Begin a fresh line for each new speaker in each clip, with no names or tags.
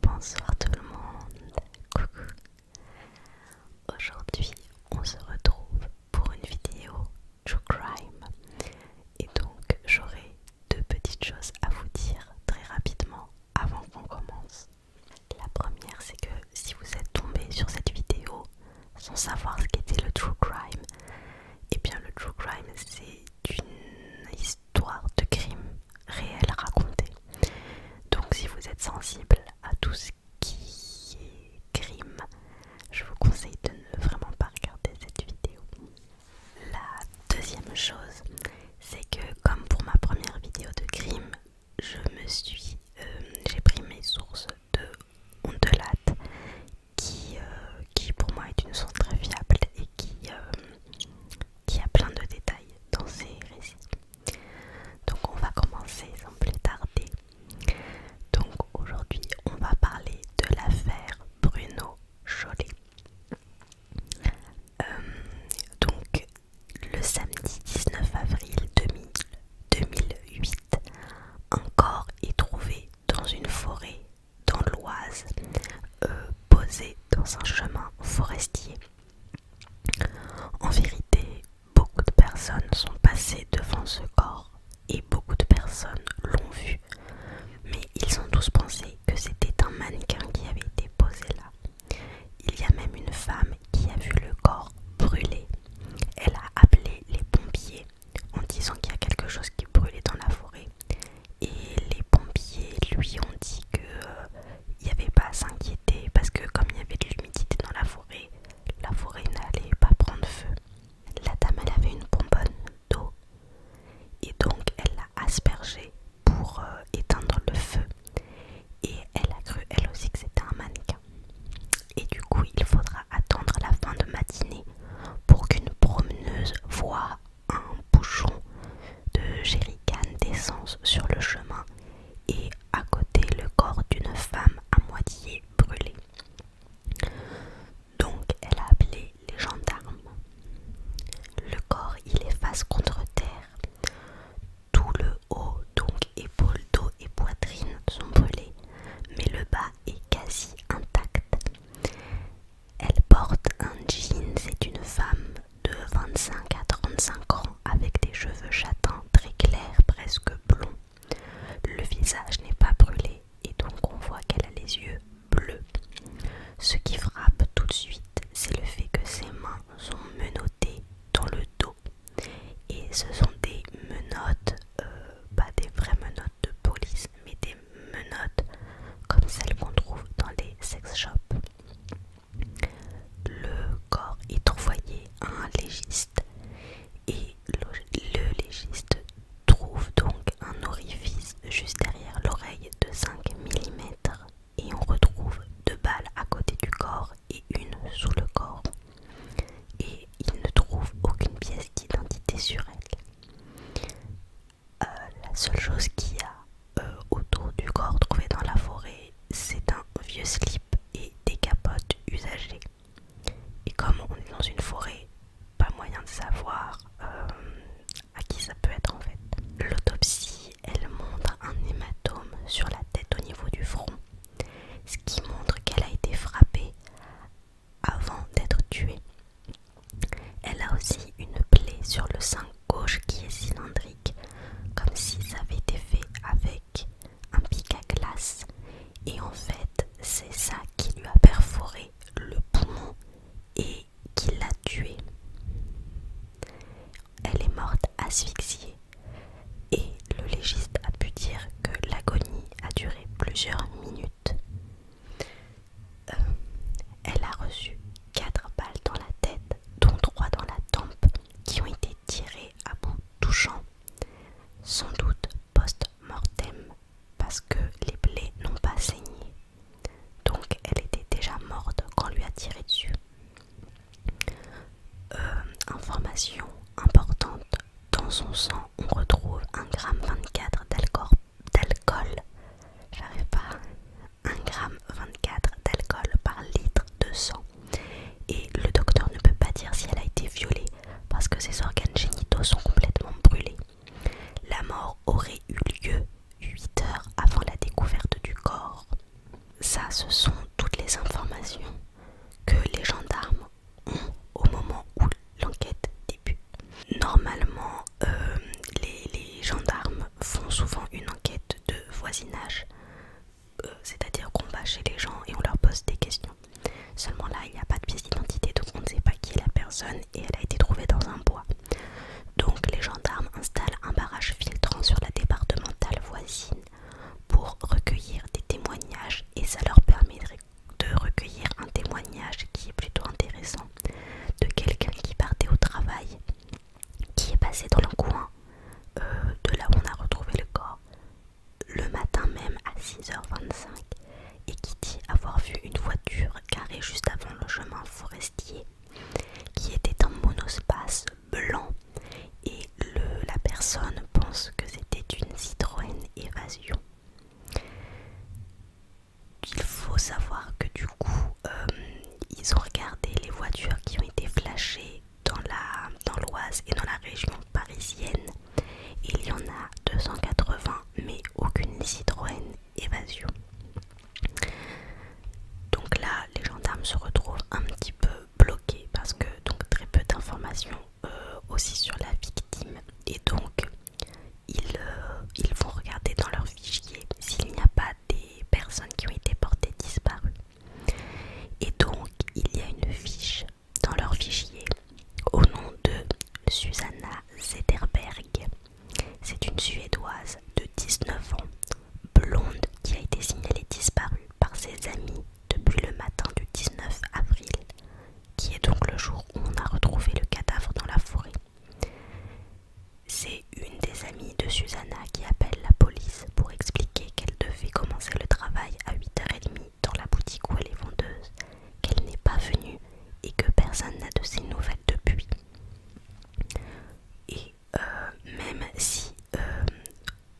Bonsoir tout le monde, coucou. Aujourd'hui, on se retrouve pour une vidéo True Crime. Et donc, j'aurai deux petites choses à vous dire très rapidement avant qu'on commence. La première, c'est que si vous êtes tombé sur cette vidéo, sans savoir ce qu'était le true crime. Et eh bien, le true crime, c'est une histoire de crime réel racontée. Donc, si vous êtes sensible à tout ce qui est crime, je vous conseille de ne vraiment pas regarder cette vidéo. La deuxième chose, c'est que comme pour ma première vidéo de crime, je me suis, euh, j'ai pris mes sources de on qui, euh, qui pour moi est une source très fiable et qui, euh, qui a plein de détails dans ses récits. Donc on va commencer sans plus tarder. Donc aujourd'hui on va parler de l'affaire Bruno Chollet. Euh, donc le samedi 19 avril 2000, 2008, un corps est trouvé dans une forêt dans l'Oise, euh, posé dans un chemin forestier. En vérité, beaucoup de personnes sont passées devant ce corps et beaucoup de personnes l'ont vu, mais ils ont tous pensé que c'était un mannequin qui avait été posé là. Il y a même une femme qui a vu le corps brûlé. Elle a appelé les pompiers en disant qu'il y a quelque chose qui brûlait dans la forêt. Et les pompiers lui ont dit qu'il euh, n'y avait pas à s'inquiéter parce que comme il y avait de l'humidité dans la forêt, la forêt n'allait pas prendre feu. La dame elle avait une bonbonne d'eau et donc elle l'a aspergée pour euh, éteindre le feu. Et elle a cru elle aussi que c'était un mannequin. Et du coup, il faudra attendre la fin de matinée pour qu'une promeneuse voie un bouchon de jerrican d'essence sur le chemin et à côté le corps d'une femme à moitié brûlée. Donc elle a appelé les gendarmes. Le corps il est face contre terre. Tout le haut, donc épaule dos et poitrine sont brûlés, mais le bas quasi intacte. Elle porte un jean, c'est une femme de 25 à 35 ans avec des cheveux châtains très clairs, presque blonds. Le visage n'est pas brûlé et donc on voit qu'elle a les yeux bleus. Ce qui frappe tout de suite, c'est le fait que ses mains sont menottées dans le dos. Et ce sont des menottes euh, pas des vraies menottes de police, mais des menottes comme celles qu'on trouve dans les sex shops. Le corps est envoyé à un légiste et le, le légiste trouve donc un orifice juste derrière l'oreille de 5 mm et on retrouve deux balles à côté du corps et une sous le corps et il ne trouve aucune pièce d'identité sur elle. Euh, la seule chose qu'il y a euh, autour du corps trouvé dans la forêt, c'est un vieux slip et des capotes usagées. Et comme on est dans une forêt, pas moyen de savoir euh, à qui ça peut être en fait. L'autopsie, elle montre un hématome sur la tête au niveau du front, ce qui montre qu'elle a été frappée avant d'être tuée. Elle a aussi une plaie sur le sein gauche qui est cylindrique, comme si ça avait été fait avec un pic à glace. Et en fait, c'est ça qui lui a perforé le poumon et qui l'a tuée. Elle est morte asphyxiée et le légiste a pu dire que l'agonie a duré plusieurs minutes. Euh, elle a reçu quatre balles dans la tête, dont 3 dans la tempe, qui ont été tirées à bout touchant, sans doute post-mortem, parce que les plaies n'ont pas saigné. Donc elle était déjà morte quand on lui a tiré dessus. Euh, information importante dans son sang, on retrouve 24 d'alcool. J'arrive pas. 24 d'alcool par litre de sang. Et le docteur ne peut pas dire si elle a été violée parce que ses organes génitaux sont complètement brûlés. La mort aurait eu lieu 8 heures avant la découverte du corps. Ça, ce sont toutes les informations que les gendarmes ont au moment où l'enquête débute. Normalement, euh, les, gendarmes font souvent une enquête de voisinage, euh, c'est-à-dire qu'on va chez les gens et on leur pose des questions. Seulement là, il n'y a pas de pièce d'identité, donc on ne sait pas qui est la personne et elle a été trouvée dans un bois. Donc les gendarmes installent un barrage filtrant sur la départementale voisine pour recueillir des témoignages et ça leur permet de de recueillir un témoignage qui est plutôt intéressant de quelqu'un qui partait au travail, qui est passé dans le coin euh, de là où on a retrouvé le corps le matin même à 6h25 et qui dit avoir vu une voiture carrée juste avant le chemin forestier qui était en monospace blanc et la personne pense que c'était une Citroën Évasion. Il faut savoir que du coup, euh, ils ont regardé les voitures qui ont été flashées dans la dans l'Oise et dans la région parisienne. Il y en a 280, mais aucune Citroën Évasion. Donc là, les gendarmes se retrouvent un petit peu bloqués parce que donc très peu d'informations euh, aussi sur la victime et donc ils, euh, ils vont regarder dans leur fichier s'il n'y a pas des personnes qui ont été portées disparues. Et donc il y a une fiche dans leur fichier au nom de Susanna Zederberg. C'est une Suédoise de 19 ans, blonde, qui a été signalée disparue par ses amis depuis le matin du 19 avril qui est donc le jour où on a retrouvé le cadavre dans la forêt. C'est une des amies de Susanna qui appelle la police pour expliquer qu'elle devait commencer le travail à 8h30 dans la boutique où elle est vendeuse, qu'elle n'est pas venue et que personne n'a de ses nouvelles depuis. Et euh, même si euh,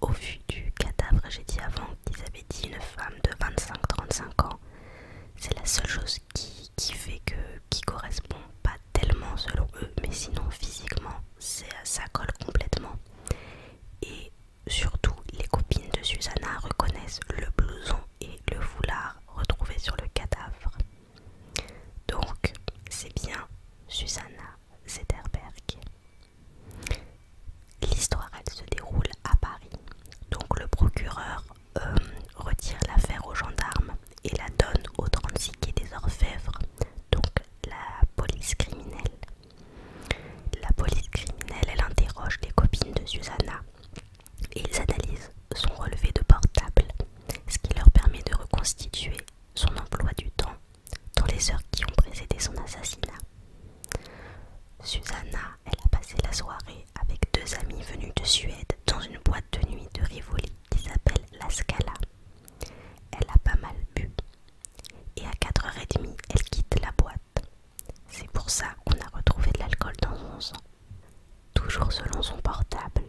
au vu du cadavre, j'ai dit avant qu'ils avaient dit une femme de 25-35 ans. C'est la seule chose qui, fait que qui correspond pas tellement selon eux, mais sinon physiquement, ça colle complètement. Et surtout, les copines de Susanna reconnaissent le blouson et le foulard retrouvés sur le cadavre. Donc, c'est bien Susanna Zetterberg. L'histoire, se déroule à Paris. Donc le procureur euh, retire l'affaire aux gendarmes et la donne au 36 des Orfèvres, donc la police criminelle. La police criminelle, elle interroge les copines de Susanna et ils analysent son relevé de portable, ce qui leur permet de reconstituer son emploi du temps dans les heures qui ont précédé son assassinat. Susanna, elle a passé la soirée avec deux amis venus de Suède dans une boîte de nuit de Rivoli qui s'appelle La Scala. Elle a pas mal bu et à 4h30, elle quitte la boîte. C'est pour ça qu'on a retrouvé de l'alcool dans son sang. Toujours selon son portable,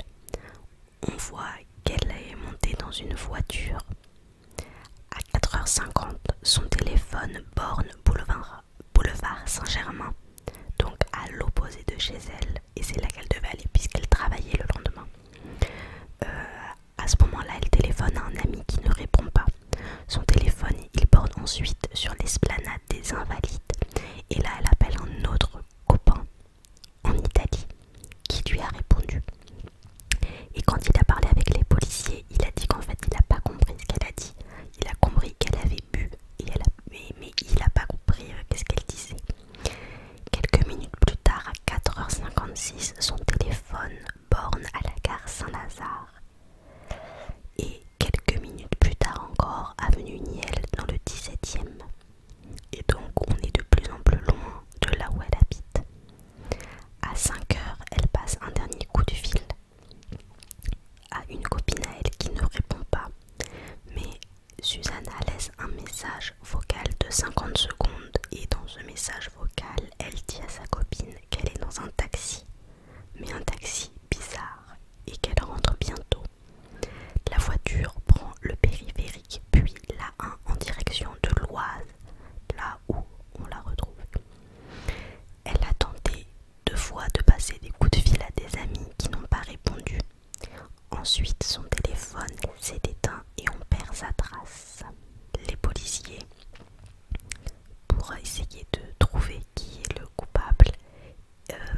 on voit qu'elle est montée dans une voiture à 4h50, son téléphone borne boulevard, Saint-Germain, donc à l'opposé de chez elle, et c'est là qu'elle devait aller puisqu'elle travaillait le lendemain. Euh, à ce moment-là, elle téléphone à un ami qui ne répond pas. Son téléphone, il borne ensuite sur l'esplanade des Invalides, et là, elle appelle un autre copain en Italie qui lui a répondu. Et quand il a parlé avec les policiers, il a dit qu'en fait il n'a pas compris ce qu'elle a dit. Il a compris qu'elle avait bu, mais, il n'a pas compris euh, ce qu'elle disait. Quelques minutes plus tard, à 4h56, son téléphone borne à la gare Saint-Lazare. Et quelques minutes plus tard encore, avenue Niel dans le 17e. Et donc on est de plus en plus loin de là où elle habite. À 5 heures, elle passe un dernier coup de fil à une copine à elle qui ne répond pas. Mais Susanna laisse un message vocal de 50 secondes et dans ce message vocal, elle dit à sa copine qu'elle est dans un taxi, mais un taxi bizarre et qu'elle rentre bientôt. La voiture prend le périphérique puis la 1 en direction de l'Oise, là où on la retrouve. Elle a tenté deux fois de passer des coups de fil à des amis qui n'ont pas répondu. Ensuite, son téléphone s'est éteint et on perd sa trace. Les policiers, pour essayer de trouver qui est le coupable, euh,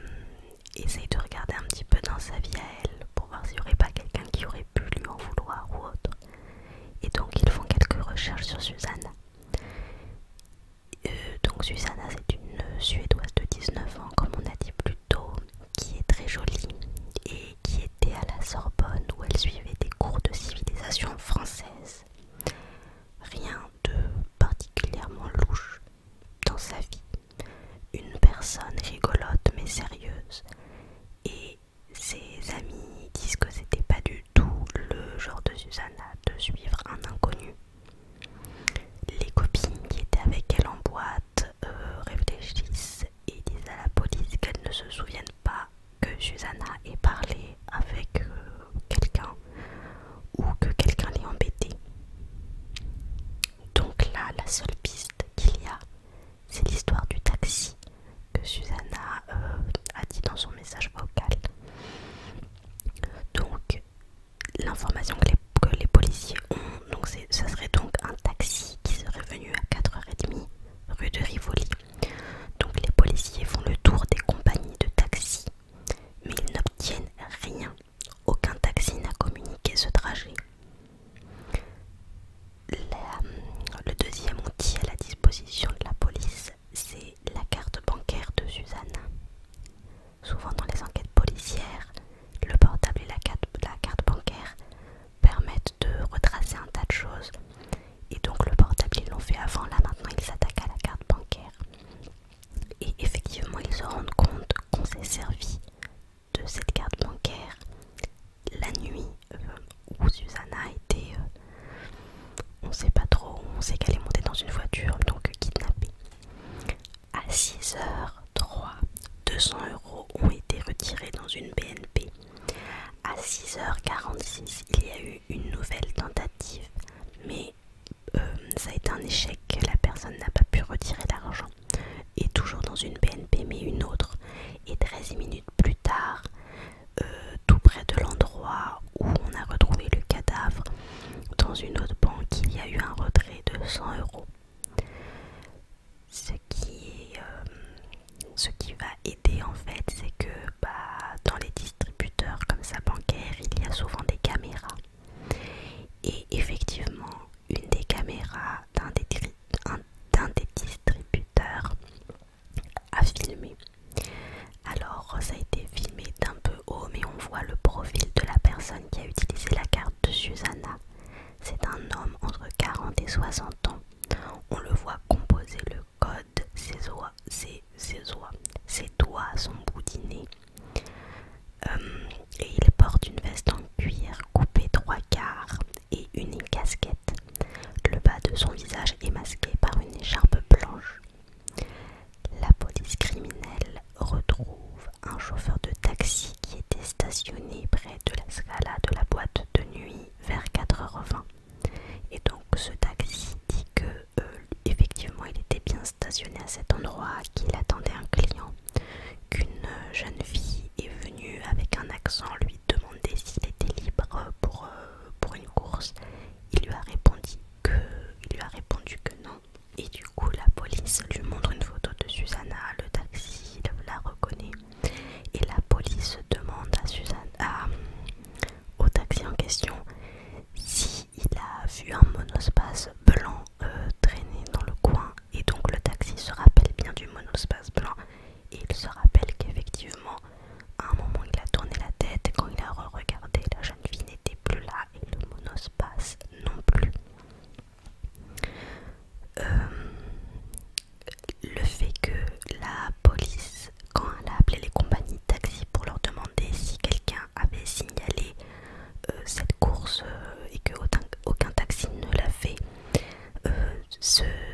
essayent de regarder un petit peu dans sa vie à elle pour voir s'il n'y aurait pas quelqu'un qui aurait pu lui en vouloir ou autre. Et donc, ils font quelques recherches sur Suzanne. Euh, donc Susanna c'est une Suédoise de 19 ans comme on a dit plus tôt qui est très jolie et qui était à la Sorbonne où elle suivait des cours de civilisation française. Rien de particulièrement louche dans sa vie. Une personne rigolote mais sérieuse et ses amis disent que c'était pas du tout le genre de Susanna de suivre un inconnu. Les copines qui étaient avec elle en boîte euh, réfléchissent et disent à la police qu'elles ne se souviennent pas que Susanna ait parlé avec euh, quelqu'un ou que quelqu'un l'ait embêtée. Donc là, la seule piste qu'il y a, c'est l'histoire du taxi que Susanna euh, a dit dans son message vocal. Donc l'information que, les, policiers ont, donc ça serait donc un taxi qui serait venu à 4h30 rue de Rivoli. Donc les policiers font le tour des compagnies de taxi, mais ils n'obtiennent rien. Aucun taxi n'a communiqué ce trajet. le deuxième outil à la disposition de la police, c'est la carte bancaire de Suzanne. Souvent dans les enquêtes policières, le portable et la carte, bancaire permettent de retracer un tas de choses. Et donc le portable, ils l'ont fait avant, là maintenant ils s'attaquent à la carte bancaire. Et effectivement, ils se rendent compte qu'on s'est servi de cette carte bancaire la nuit euh, où Susanna a été, euh, on sait pas trop, on sait qu'elle est montée dans une voiture, donc kidnappée. À 6h03, 200 euros ont été retirés dans une BNP. À 6h46, il y a eu une nouvelle tentative, mais euh, ça a été un échec, la personne n'a pas pu retirer l'argent. Et toujours dans une BNP, mais une autre. Et 13 minutes plus tard, euh, tout près de l'endroit où on a retrouvé le cadavre, dans une autre banque, il y a eu un retrait de 100 euros. Ce qui, euh, ce qui va aider en fait, c'est que bah, dans les distributeurs comme ça bancaire, il y a souvent des caméras. Et effectivement, une des caméras d'un des, distributeurs à filmer. Alors ça a été filmé d'un peu haut mais on voit le profil de la personne qui a utilisé la carte de Susanna. C'est un homme entre 40 et 60 ans. On le voit composer le code, ses oies, ses, ses, oies, ses doigts sont boudinés. Euh, et il porte une veste en cuir coupée trois quarts et une casquette. Le bas de son visage est masqué par une écharpe blanche. La police criminelle retrouve un chauffeur de taxi qui était stationné près de la scala de la boîte de nuit vers 4h20. Et donc ce taxi dit que euh, effectivement il était bien stationné à cet endroit, qu'il attendait un client, qu'une jeune fille est venue avec un accent lui demander s'il était libre pour euh, pour une course. Il lui a répondu que, lui a répondu que non. Et du coup, la police lui montre une photo de Susanna. Le taxi la reconnaît. Et la police demande à Susanna, au taxi en question si il a vu un monospace blanc euh, traîner dans le coin. Et donc, le taxi se rappelle bien du monospace blanc et il se rappelle qu'effectivement, à un moment il a tourné la tête, et quand il a regardé, la jeune fille n'était plus là et le monospace non plus. Euh, le fait que la police, quand elle a appelé les compagnies de taxi pour leur demander si quelqu'un avait signalé euh, cette course euh, et que aucun, taxi ne l'a fait,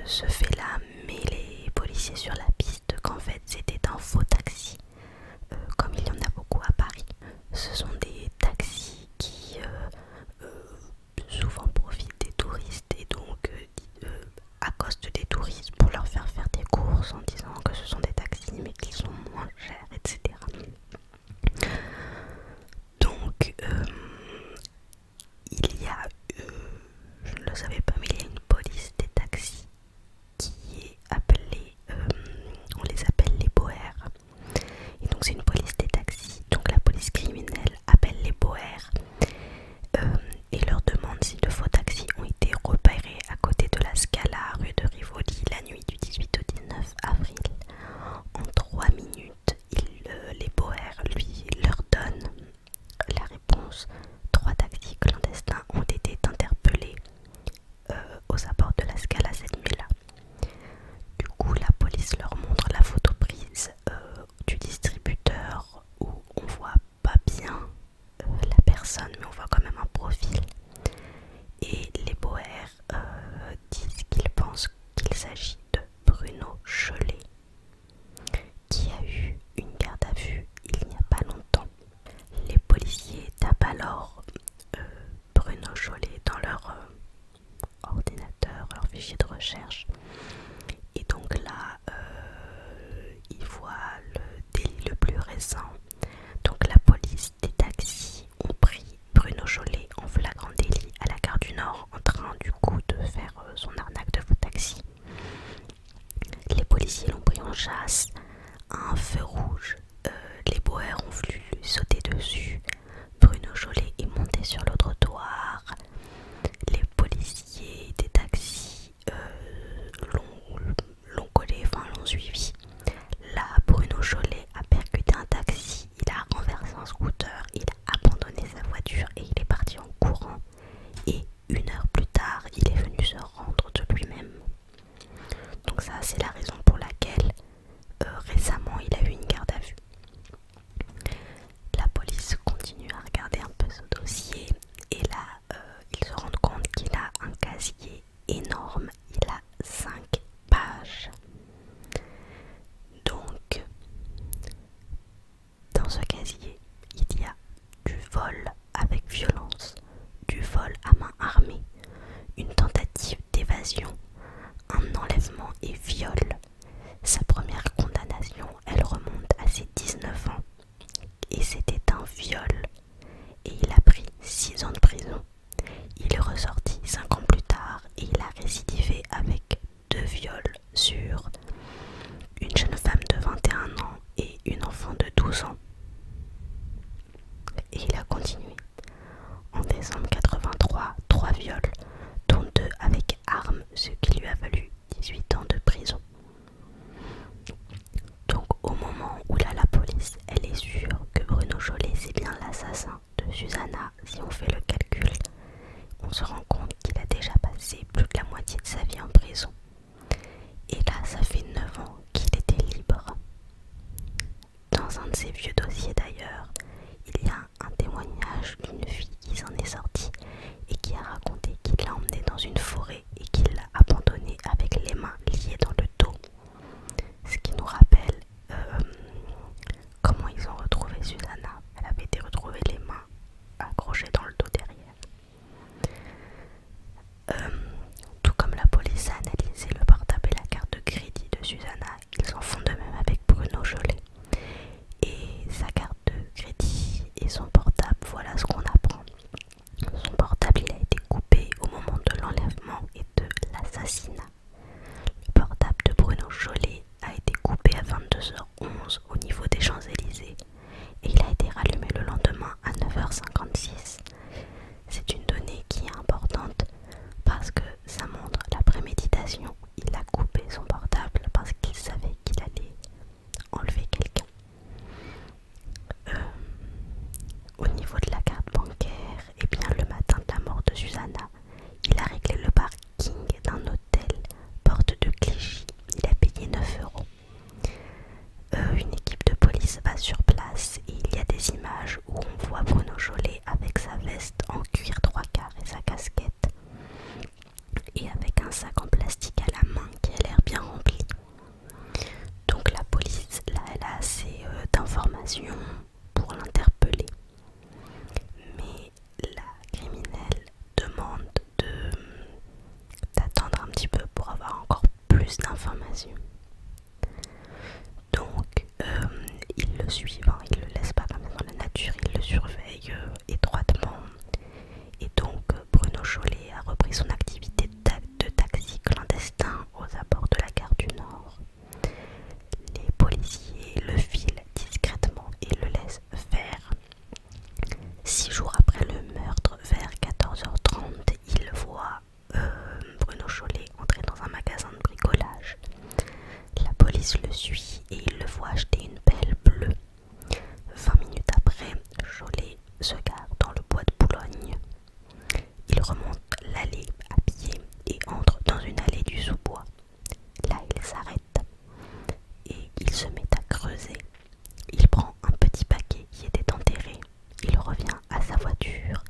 ce fait-là mais les policiers sur la piste qu'en fait c'était un faux taxi, euh, comme il y en a beaucoup à Paris. Ce sont des taxis qui euh, euh, souvent profitent des touristes et donc à accostent des touristes pour leur faire faire des courses en disant que ce sont des taxis mais qu'ils sont moins chers, etc. Donc, il y a, euh, je ne le savais pas, mais il y a une police des taxis qui est appelée, euh, on les appelle les Boers. Et donc c'est une police des taxis, donc la police criminelle appelle les Boers euh, et leur demande si de faux taxis ont été repérés à côté de la Scala, rue de Rivoli, la nuit du 18 au 19 avril. En trois minutes, les Boers lui leur donnent la réponse, trois tactiques clandestins ont été interpellés euh, aux abords de la Scala cette nuit-là. Du coup, la police leur montre la photo prise euh, du distributeur où on voit pas bien euh, la personne, mais on voit quand même un profil. Et les Boers disent qu'ils pensent qu'il s'agit de Bruno Chollet, qui a eu une garde à vue il n'y a pas longtemps. Les policiers tapent alors euh, Bruno Chollet dans leur euh, ordinateur, leur fichier de recherche. Et donc là, euh, ils voient le délit le plus récent. Donc la police des taxis ont pris Bruno Chollet en flagrant délit à la gare du Nord en train du coup de faire son arnaque de faux taxis. Les policiers l'ont pris en chasse un feu rouge. Euh, les Boers ont voulu sauter dessus. Bruno Jolet est monté sur le trottoir. Les policiers des taxis euh, l'ont collé, enfin l'ont suivi. Là, Bruno Jolet a percuté un taxi, il a renversé un scooter, il a abandonné sa voiture et il est parti en courant. Et une heure plus tard, il est venu se rendre de lui-même. Donc ça, c'est la raison pour laquelle euh, récemment, il a eu une garde à vue. La police continue à regarder un peu ce dossier et là, euh, ils se rendent compte qu'il a un casier énorme. Il a cinq pages. Donc, dans ce casier, il y a du vol avec violence, du vol à main armée, une tentative d'évasion, un enlèvement et viol. Sa première condamnation, elle remonte à ses 19 ans. Et c'était un viol. Et il a pris 6 ans de prison. Il est ressorti 5 ans plus tard et il a récidivé avec deux viols sur une jeune femme de 21 ans et une enfant de 12 ans. Et il a continué. En décembre 83, trois viols, dont deux avec armes, ce qui lui a valu 18 ans de prison. Donc au moment où là la police, elle est sûre que Bruno Jolet c'est bien l'assassin de Susanna, si on fait le calcul, on se rend compte qu'il a déjà passé plus de la moitié de sa vie en prison. Et là, ça fait 9 ans qu'il était libre. Dans un de ses vieux dossiers d'ailleurs, il y a un témoignage d'une fille qui s'en est sortie et qui a raconté qu'il l'a emmenée dans une forêt et qu'il l'a abandonnée avec les mains liées dans le dos. Ce qui nous rappelle euh, comment ils ont retrouvé Susanna. Elle avait été retrouvée les mains accroché dans le dos derrière. Euh, tout comme la police a analysé le portable et la carte de crédit de Susanna, ils en font de même avec Bruno Jolet. Et sa carte de crédit et son portable, voilà ce qu'on apprend. Son portable a été coupé au moment de l'enlèvement et de l'assassinat. Le portable de Bruno Jolet a été coupé à 22h11 au niveau des Champs-Élysées et il a été rallumé le lendemain à 9h56. C'est une donnée qui est importante parce que ça montre la préméditation. Il a coupé son portable parce qu'il savait qu'il allait enlever quelqu'un. Euh, au niveau de la carte bancaire, et eh bien le matin de la mort de Susanna, il a réglé le parking d'un hôtel porte de Clichy. Il a payé 9 euros. Euh, une équipe de police va sur place et il y a des images où on voit Bruno Jolet avec sa veste en cuir trois quarts et sa casquette et avec un sac en plastique à la main qui a l'air bien rempli. Donc la police, là, elle a assez euh, d'informations pour l'interpeller. Mais la criminelle demande d'attendre un petit peu pour avoir encore plus d'informations. Donc, euh, il le suivent, il le laisse pas dans la nature, il le surveille euh, étroitement. Et donc, euh, Bruno Chollet a repris son activité de taxi clandestin aux abords de la gare du Nord. Les policiers le filent discrètement et le laissent faire. Six jours après le meurtre, vers 14h30, il voit euh, Bruno Chollet entrer dans un magasin de bricolage. La police le suit et il le voit acheter une belle bleue. Vingt minutes après, Chollet se gare dans le bois de Boulogne. Il remonte l'allée à pied et entre dans une allée du sous-bois. Là, il s'arrête et il se met à creuser. Il prend un petit paquet qui était enterré. Il revient à sa voiture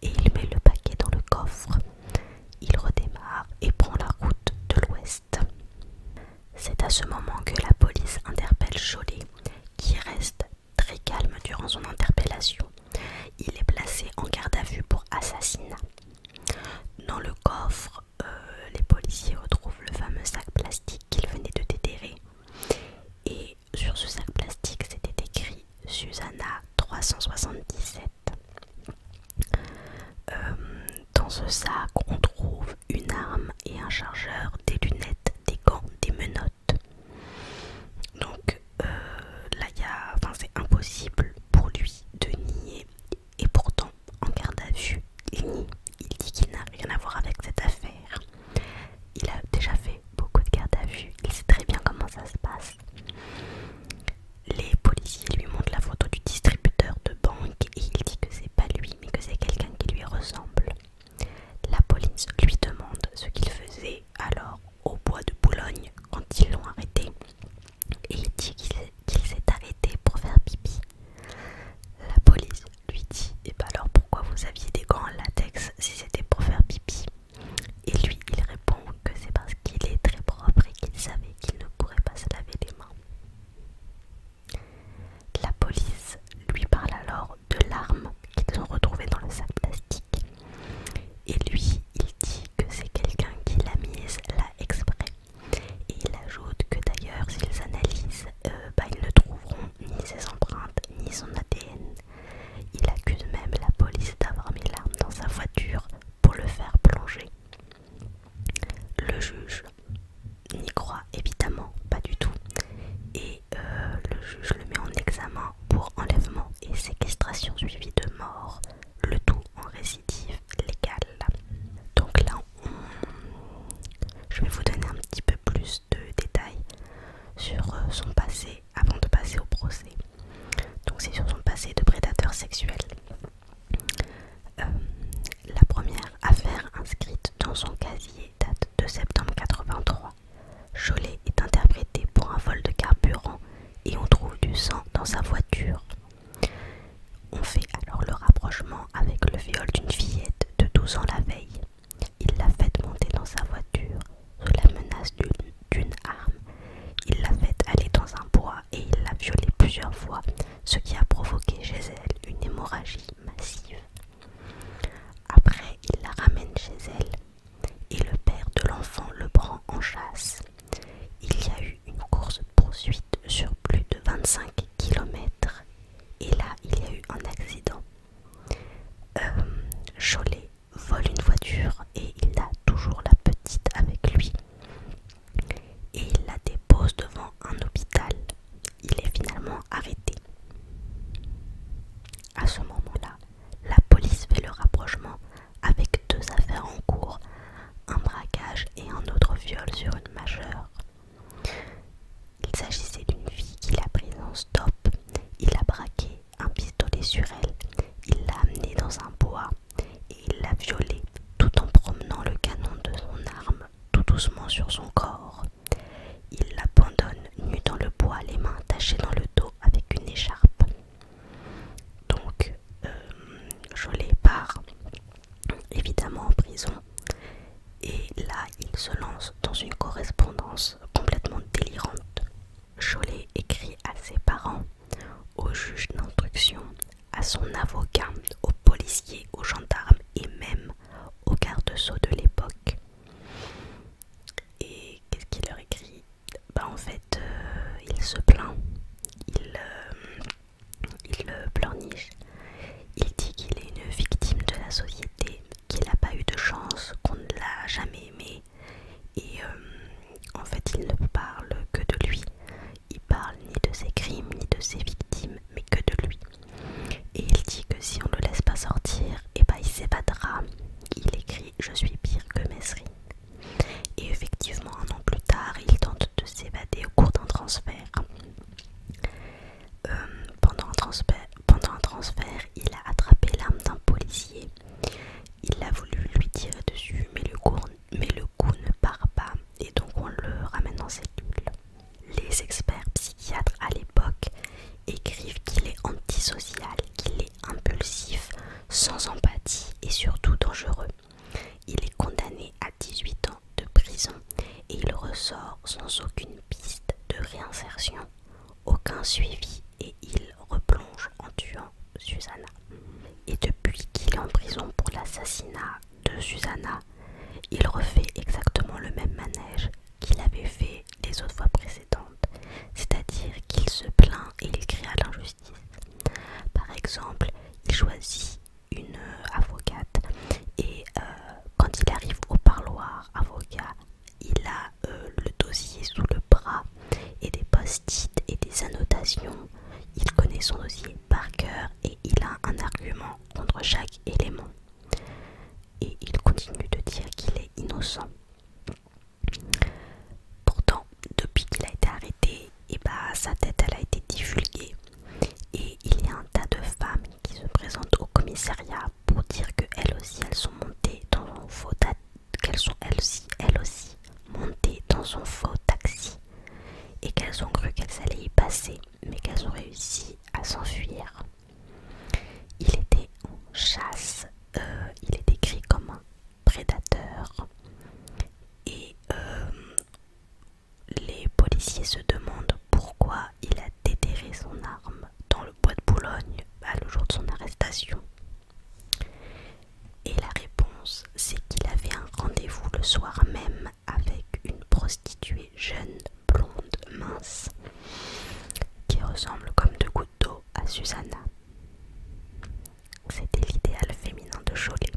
et il met le paquet dans le coffre. Il redémarre et prend la route de l'ouest. C'est à ce moment que la police interpelle Jolet qui reste très calme durant son interpellation. Il est placé en garde à vue pour assassinat. Dans le coffre, euh, les policiers retrouvent le fameux sac plastique qu'ils venaient de déterrer. Et sur ce sac plastique, c'était écrit Susanna 377. Euh, dans ce sac, on trouve une arme et un chargeur, des lunettes, des gants, des menottes. Donc euh, y il enfin, c'est impossible pour lui de nier et pourtant, en garde à vue, il dit qu'il n'a rien à voir avec cette affaire. Il a déjà fait beaucoup de garde à vue. Il sait très bien comment ça se passe. Les policiers lui montrent la photo du distributeur de banque et il dit que c'est pas lui, mais que c'est quelqu'un qui lui ressemble. La police lui demande ce qu'il faisait alors au bois de Boulogne quand ils l'ont arrêté et il dit qu'il s'est arrêté pour faire pipi. La police lui dit Et eh ben alors pourquoi vous aviez des gants en latex si c'était pour faire pipi Et lui il répond que c'est parce qu'il est très propre et qu'il savait qu'il ne pourrait pas se laver les mains. La police lui parle alors de l'arme qu'ils ont retrouvée dans le sac plastique. Et lui il dit que c'est quelqu'un qui l'a mise là exprès et il ajoute que d'ailleurs, s'ils analysent, euh, bah, ils ne trouveront ni ses empreintes ni son ADN. Il accuse même la police d'avoir mis l'arme dans sa voiture pour le faire plonger. Le juge n'y croit évidemment pas du tout et euh, le juge le met en examen pour enlèvement et séquestration suivie de mort, le tout en récidive légal. Donc là, je vais vous donner un petit peu plus de détails sur euh, son passé avant de passer au procès. Donc c'est sur son passé de prédateur sexuel. Euh, la première affaire inscrite dans son casier date de septembre 83. Cholet est interprété pour un vol de carburant et on trouve du sang dans sa voiture. On fait alors le rapprochement avec le viol d'une fillette de 12 ans la veille. Il l'a fait monter dans sa voiture sous la menace d'une arme. Il l'a fait aller dans un bois et il l'a violée plusieurs fois, ce qui a provoqué chez elle une hémorragie massive. Après, il la ramène chez elle et le père de l'enfant le prend en chasse. Il y a eu une course poursuite sur plus de 25 kilomètres et là il y a eu un accident. Cholet euh, vole une voiture et il a toujours la petite avec lui et il la dépose devant un hôpital. Il est finalement arrêté. À ce moment-là, la police fait le rapprochement avec deux affaires en cours, un braquage et un autre viol sur une majeure. Il s'agissait d'une fille qu'il a prise en stop. Il a braqué un pistolet sur elle. Il l'a amenée dans un bois et il l'a violée tout en promenant le canon de son arme tout doucement sur son corps. Il l'abandonne nue dans le bois, les mains tachées dans le dos avec une écharpe. Donc, euh, Jolet part évidemment en prison et là il se lance dans une correspondance complètement délirante. Jolet écrit à ses parents, au juge d'instruction, à son avocat, aux policiers, aux gendarmes et même aux gardes-sceaux de l'époque. Et qu'est-ce qu'il leur écrit Bah en fait euh, il se plaint. Il, euh, il le pleurniche. Il dit qu'il est une victime de la société, qu'il n'a pas eu de chance, qu'on ne l'a jamais aimé. Et euh, en fait, il ne parle que de lui. Il parle ni de ses crimes, ni de ses victimes, mais que de lui. Et il dit que si on ne le laisse pas sortir, et eh ben, il s'évadera. Il écrit Je suis pire que Messry Et effectivement, un an plus tard, il tente de s'évader au cours d'un transfert. Euh, pendant, un transfert pendant un transfert, il a attrapé l'arme d'un policier. Il a voulu lui tirer dessus, mais le, coup, mais le coup ne part pas et donc on le ramène en cellule. Les experts psychiatres à l'époque écrivent qu'il est antisocial, qu'il est impulsif, sans empathie et surtout dangereux. Il est condamné à 18 ans de prison et il ressort sans aucune piste de réinsertion, aucun suivi et il replonge en tuant Susanna. Et depuis qu'il est en prison pour l'assassinat de Susanna, il refait exactement le même manège qu'il avait fait les autres fois précédentes, c'est-à-dire qu'il se plaint et il crie à l'injustice. Par exemple, il choisit une euh, avocate et euh, quand il arrive au parloir avocat, il a euh, le dossier sous le bras et des post-it et des annotations. Il connaît son dossier par cœur et il a un argument contre chaque élément. Et il continue de dire qu'il est innocent. Pourtant, depuis qu'il a été arrêté, et bah sa tête elle a été divulguée et il y a un tas de femmes qui se présentent au commissariat pour dire que elles aussi elles sont montées dans un faux qu'elles sont elles aussi montées dans son faux taxi et qu'elles ont cru qu'elles allaient y passer mais qu'elles ont réussi à s'enfuir. Il était en chasse, euh, il est décrit comme un prédateur et euh, les policiers se demandent pourquoi il a déterré son arme dans le bois de Boulogne à le jour de son arrestation. Et la réponse, c'est qu'il avait un rendez-vous le soir même avec une prostituée jeune, blonde, mince, qui ressemble comme deux gouttes d'eau à Susanna. C'était l'idéal féminin de Cholet.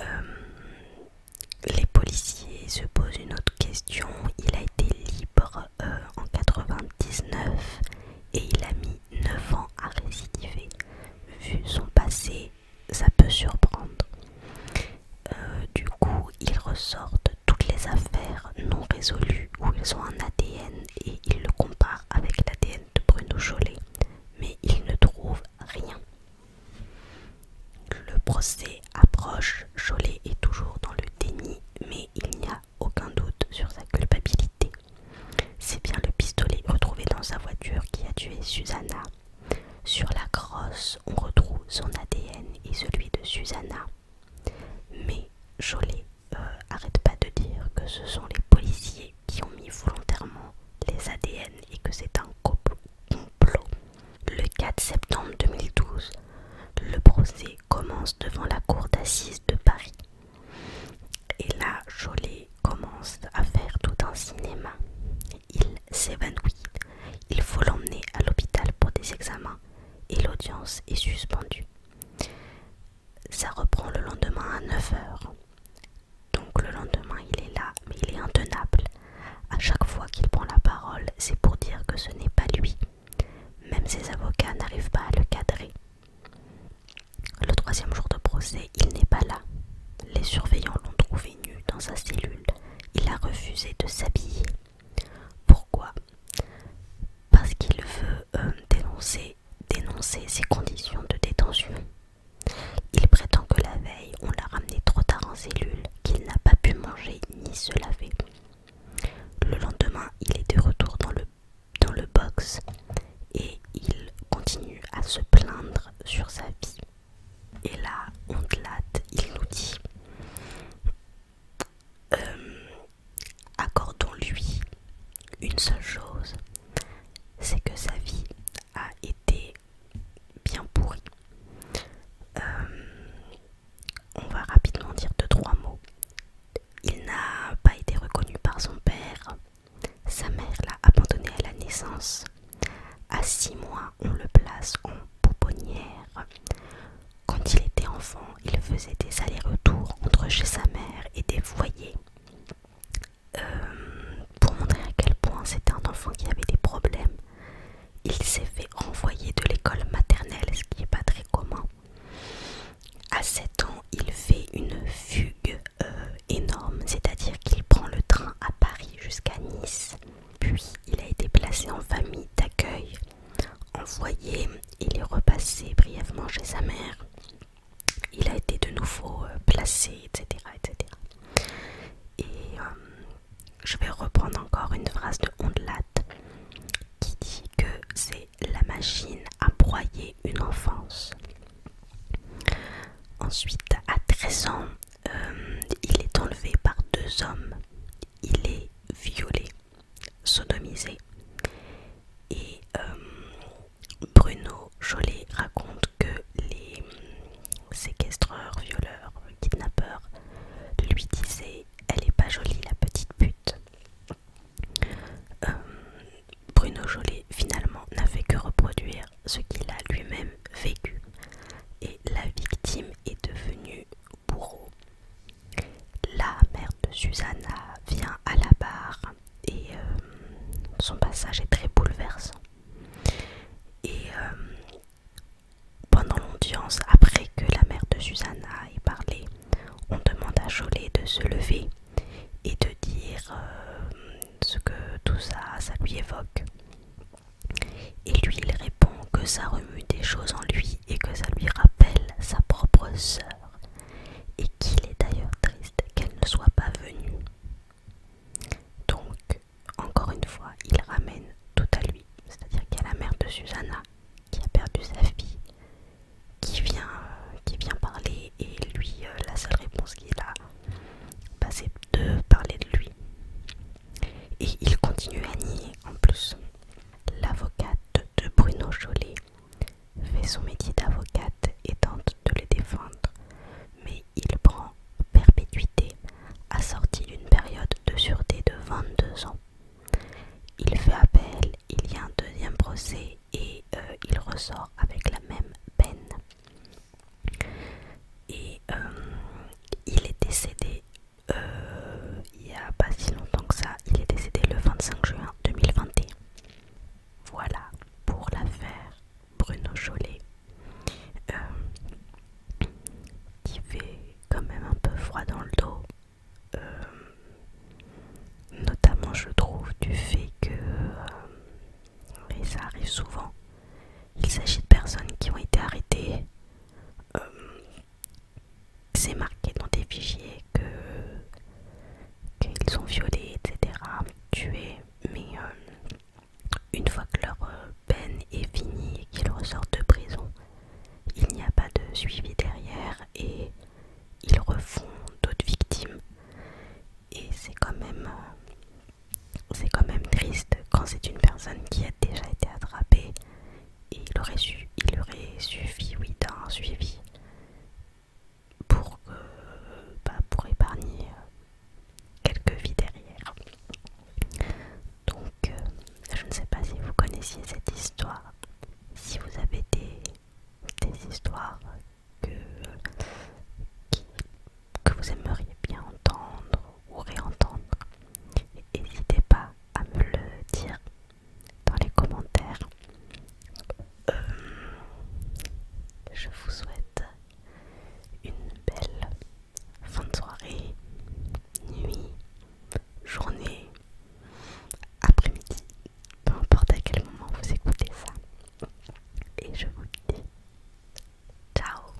Euh, les policiers se posent une autre question. Il a été libre euh, en 1999 et il a mis 9 ans à récidiver. Vu son passé, ça peut surprendre. Euh, du coup, ils ressortent toutes les affaires non résolues où ils ont un ADN et ils le comparent avec l'ADN de Bruno Jolet, mais il ne trouve rien. Le procès approche, Jolet est toujours dans le déni, mais il n'y a aucun doute sur sa culpabilité. C'est bien le pistolet retrouvé dans sa voiture qui a tué Susanna. Sur la crosse, on retrouve son ADN et celui de Susanna. Mais Chollet euh, arrête pas de dire que ce sont les policiers qui ont mis volontairement les ADN et que c'est un complot. Le 4 septembre 2012, le procès commence devant la cour d'assises de Paris. Et là, Jolet commence à faire tout un cinéma. Il s'évanouit. Il faut l'emmener à l'hôpital pour des examens et l'audience est suspendue. Ça reprend le lendemain à 9h. Donc le lendemain, il est là, mais il est intenable. À chaque fois qu'il prend la parole, c'est pour dire que ce n'est pas lui. Même ses avocats n'arrivent pas à le cadrer. Le troisième jour de procès, il n'est pas là. Les surveillants l'ont trouvé nu dans sa cellule. Il a refusé de s'habiller. Pourquoi Parce qu'il veut euh, dénoncer, dénoncer ses conditions de détention. Il prétend que la veille, on l'a ramené trop tard en cellule, qu'il n'a pas pu manger ni se laver. Le lendemain, il est de retour dans le, box et il continue à se plaindre sur sa vie. Et là, on te latte, il nous dit euh, Accordons-lui une seule chose c'est que sa vie a été bien pourrie. Euh, on va rapidement dire deux trois mots. Il n'a pas été reconnu par son père. Sa mère l'a abandonné à la naissance. À six mois, on le place en pouponnière. Quand il était enfant, il faisait des allers-retours entre chez sa mère et des foyers. Euh, pour montrer à quel point c'était un enfant qui avait des problèmes, il s'est fait renvoyer de l'école maternelle, ce qui n'est pas très commun. À 7 ans, il fait une fugue euh, énorme, c'est-à-dire qu'il prend le train à Paris jusqu'à Nice. Puis il a été placé en famille d'accueil, envoyé, il est repassé brièvement chez sa mère il a été de nouveau euh, placé, etc. Et euh, je vais reprendre encore une phrase de Ondelat qui dit que c'est la machine à broyer une enfance. Ensuite, à 13 ans, euh, il est enlevé par deux hommes. Il est violé, sodomisé. Et Bruno Jolet raconte que les séquestreurs, violeurs, kidnappeurs lui disaient Elle est pas jolie la petite pute. Euh, Bruno Jolet finalement n'a fait que reproduire ce qu'il a lui-même vécu et la victime est devenue bourreau. La mère de Susanna vient à la barre et euh, son passage est très bouleversant. Et euh, pendant l'audience, après que la mère de Susanna ait parlé, on demande à Jolet de se lever et de dire euh, ce que tout ça, ça lui évoque. Et lui, il répond que ça remue des choses en lui et que ça lui rappelle sa propre sœur et qu'il est d'ailleurs triste qu'elle ne soit pas venue. Donc, encore une fois, il ramène tout à lui, c'est-à-dire qu'il y la mère de Susanna qui a perdu sa fille, qui vient, euh, qui vient parler et lui, euh, la seule réponse qu'il a, bah, c'est de parler de lui. Et il continue à nier en plus. L'avocate de Bruno Chollet fait son métier d'avocate et tente de les défendre, mais il prend perpétuité assorti d'une période de sûreté de 22 ans. Il fait appel, il y a un deuxième procès et euh, il ressort avec la même peine. Et euh, il est décédé euh, il n'y a pas si longtemps que ça, il est décédé le 25 juin 2021. Voilà pour l'affaire Bruno Chollet, euh, qui fait quand même un peu froid dans le dos, euh, notamment je trouve du fait que, euh, et ça arrive souvent, il s'agit de personnes qui ont été arrêtées, c'est marqué dans des fichiers que qu'ils ont violé, etc., tué, mais euh, une fois que leur euh, peine est finie et qu'ils ressortent de prison, il n'y a pas de suivi derrière et ils refont d'autres victimes. Et c'est quand même euh, triste quand c'est une personne qui a déjà été attrapée et il aurait, su, il aurait suffi oui d'un suivi pour, euh, bah, pour épargner euh, quelques vies derrière. Donc, euh, je ne sais pas si vous connaissiez cette histoire, si vous avez des, histoires que, que vous aimeriez bien entendre ou réentendre. N'hésitez pas à me le dire dans les commentaires. Euh, je vous souhaite une belle fin de soirée, nuit, journée, après-midi, peu importe à quel moment vous écoutez ça. Et je vous dis ciao